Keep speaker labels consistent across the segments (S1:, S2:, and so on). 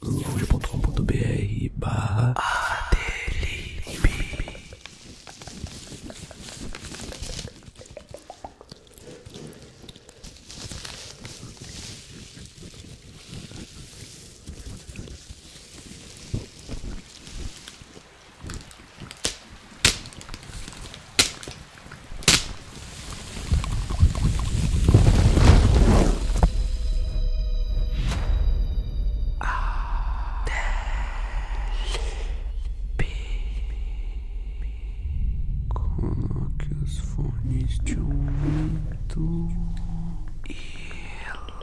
S1: lounge.com.br barra Adelibe. Coloque é os fones de ouvido e relaxe.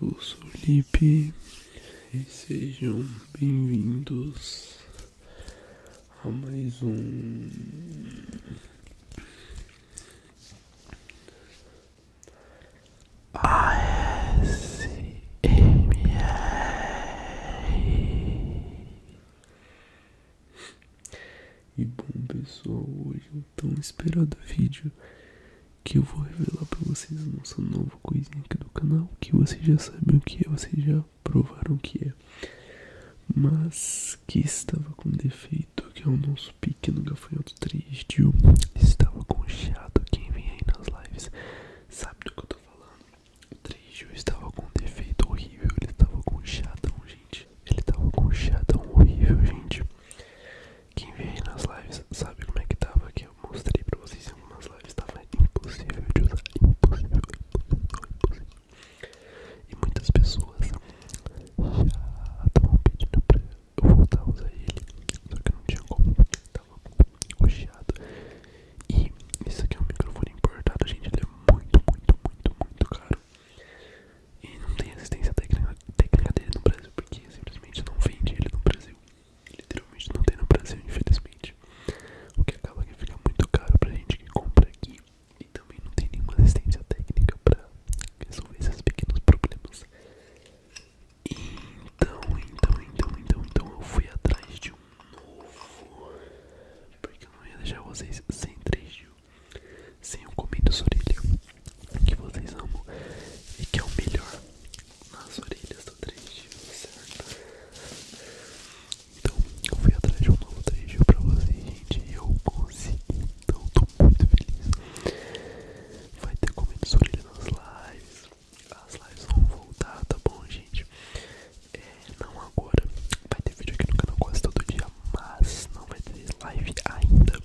S1: Eu sou o Lipe e sejam bem-vindos a mais um ASMR. E bom pessoal, hoje eu tão esperado vídeo que eu vou revelar para vocês a nossa nova coisinha aqui do canal, que vocês já sabem o que é, vocês já provaram o que é, mas que estava com defeito, que é o nosso pequeno gafanhoto 3D, estava conchado, quem vem aí nas lives sabe do que eu tô falando, o 3D estava com defeito horrível, ele estava com conchadão, gente, ele estava com conchadão horrível, gente, quem veio nas lives sabe como é que tava que eu mostrei pra vocês em algumas lives. Tava impossível de usar, impossível, impossível, impossível. E muitas pessoas já estavam pedindo pra eu voltar a usar ele, só que eu não tinha como, tava rocheado. E isso aqui é um microfone importado, gente, ele é muito, muito, muito, muito caro. E não tem assistência técnica, técnica dele no Brasil, porque simplesmente não vende ele no Brasil. Literalmente não tem no Brasil, infelizmente. O que acaba que fica muito caro pra gente que compra aqui. E também não tem nenhuma assistência técnica pra resolver esses pequenos problemas. Então, então, então, então, então eu fui atrás de um novo. Porque eu não ia deixar vocês sem 3 dias. Sem comido orelha que vocês amam e que é o melhor nas orelhas do 3D, certo? Então, eu fui atrás de um novo 3D pra vocês, gente, e eu consegui, então tô muito feliz. Vai ter comido orelha nas lives, as lives vão voltar, tá bom, gente? É, não agora, vai ter vídeo aqui no canal quase todo dia, mas não vai ter live ainda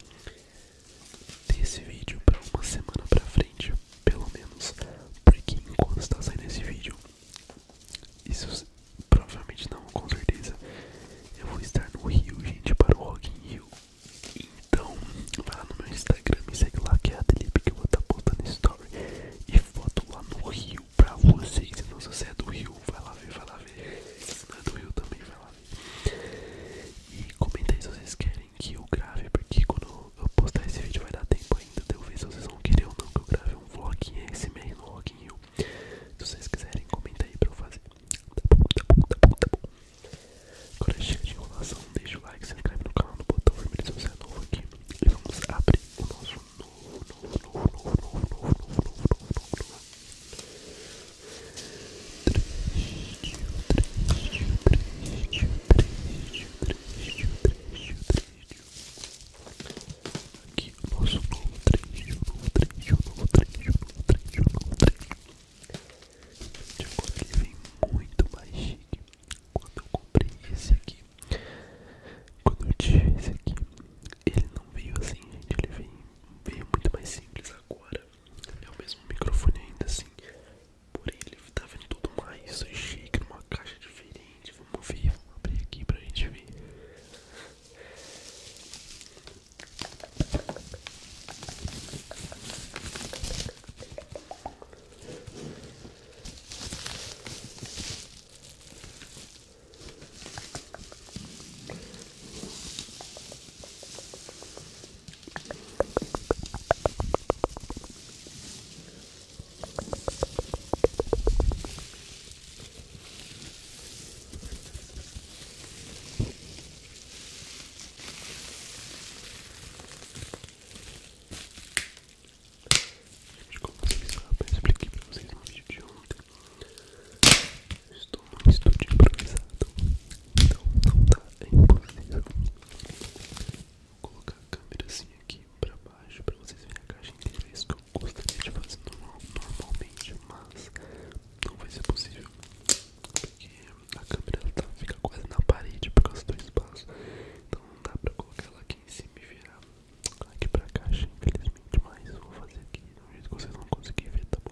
S1: desse vídeo pra uma semana pra frente, pelo menos, porque enquanto está saindo esse vídeo, isso provavelmente não, com certeza, eu vou estar no Rio, gente, para o Rock in Rio. Então, vai lá no meu Instagram, e segue lá que é a Delipe que eu vou estar tá postando story e foto lá no Rio pra vocês. Então, se você é do Rio, vai lá ver, vai lá ver. Se não é do Rio também, vai lá e comenta aí se vocês querem que eu grave, porque quando eu postar esse vídeo vai dar tempo ainda de eu ver se vocês vão querer ou não que eu grave um vlog esse mês no Rock Se vocês quiserem, comenta aí pra eu fazer. Tá bom, tá bom, tá bom, tá bom. Agora chega de enrolação, deixa o like, se inscreve no canal, no botão vermelho se você é novo aqui. E vamos abrir o nosso novo, novo, novo, novo, novo, novo, novo, novo, novo, novo, novo, novo. Aqui o nosso novo trecho, novo trecho, novo trecho, novo trecho, novo trecho. De agora ele vem muito mais chique. Quando eu comprei esse aqui, quando eu tive esse aqui, ele não veio assim, gente. Ele veio, veio muito mais simples agora. É o mesmo microfone ainda assim. Porém, ele tá vendo tudo mais chique numa caixa diferente. Vamos ver, vamos abrir aqui pra gente ver. Desculpa, expliquei pra vocês no vídeo de ontem Estou num estúdio improvisado, então não tá é impossível. Vou colocar a câmera assim aqui para baixo para vocês verem a caixa inteira. É isso que eu gostaria de fazer normalmente, mas não vai ser possível. Porque a câmera tá, fica quase na parede por causa do espaço. Então não dá para colocar ela aqui em cima e virar aqui pra caixa, infelizmente, mas vou fazer aqui de um jeito que vocês vão conseguir ver, tá bom?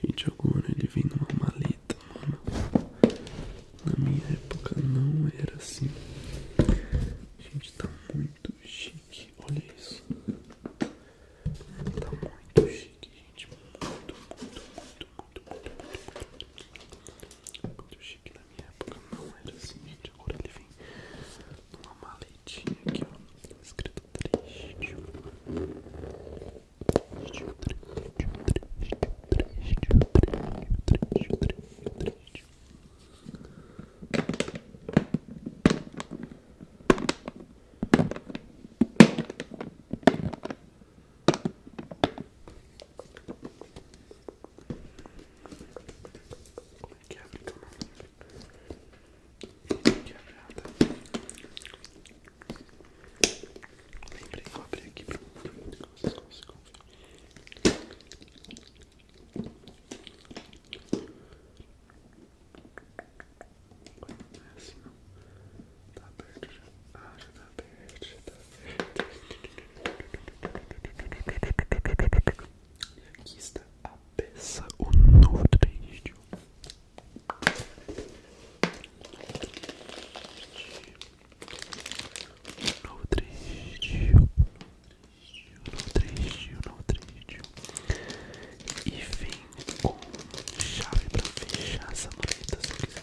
S1: Gente, agora ele vem numa maleta, mano. Na minha época não era assim. Gente, tá muito chique. Olha isso. Tá muito chique, gente. Muito, muito, muito, muito, muito, muito, muito, chique, né? na época não era assim, gente. Agora ele vem numa maletinha aqui, ó. Escrito triste. Como é que abre Como é que abre? Ah, Lembrei que eu aqui pra vocês consigam Não é assim não. Tá aberto já. Ah, já tá perdida. E aqui está a peça, o novo trend. O novo trend. O novo trend. O novo trend. E vem com chave pra fechar essa maleta se quiser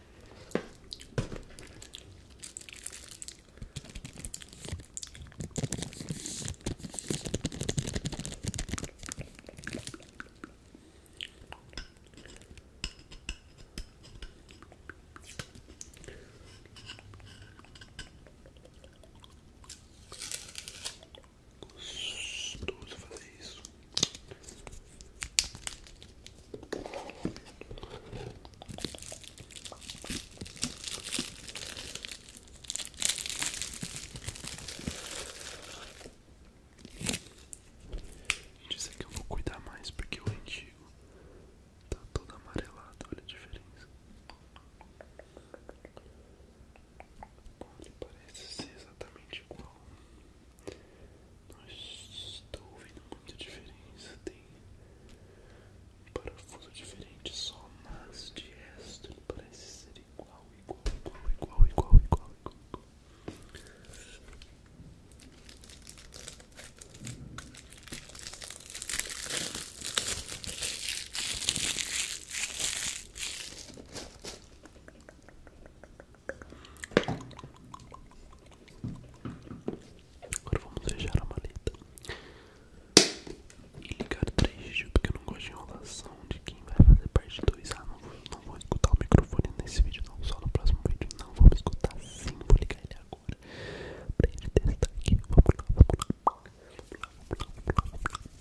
S1: Gostoso fazer isso. Disse que eu vou cuidar mais porque o antigo tá todo amarelado, olha a diferença. Ele parece ser exatamente igual. Não estou ouvindo muita diferença. Tem um parafuso diferente só, mas de resto ele parece ser igual, igual, igual, igual, igual, igual, igual. Agora vamos deixar a maleta e ligar 3G porque eu não gosto de enrolação de quem vai fazer parte 2. Ah, não vou, não vou escutar o microfone nesse vídeo, não, só no próximo vídeo. Não vou escutar sim, vou ligar ele agora pra ele testar aqui. Vamos lá, vamos lá. Vamos lá, vamos lá, vamos lá.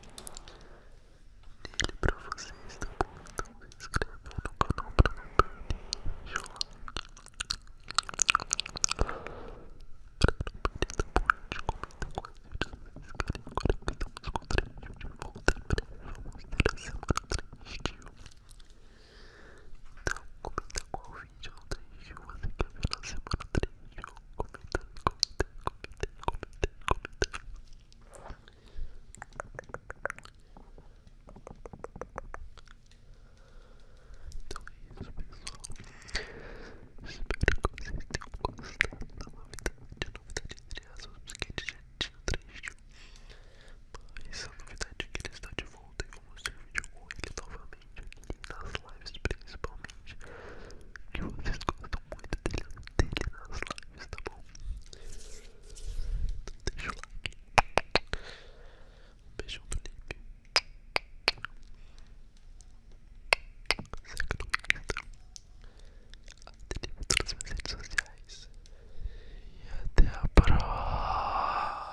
S1: nele para vocês, tá bom? Então se inscrevam no canal para não perder vídeo lá Pra não perder, tá bom gente? Comenta quais vídeos vocês querem Agora que estamos com o treininho de volta em breve Vamos ter a semana 3 de então, comenta qual vídeo ou 3 de você quer ver na semana 3 de comentando, comentando, comentando, comentando, Então é isso, pessoal. Espero que vocês tenham gostado da novidade. A novidade de aspas, porque é de jeitinho tinha triste. Mas a novidade é que ele está de volta e vou mostrar o vídeo com ele novamente normalmente aqui nas lives principalmente que vocês gostam muito dele, nas lives, tá bom? Então deixa o like um beijão do Lipe segue no Insta até em todas as minhas redes sociais e até a próxima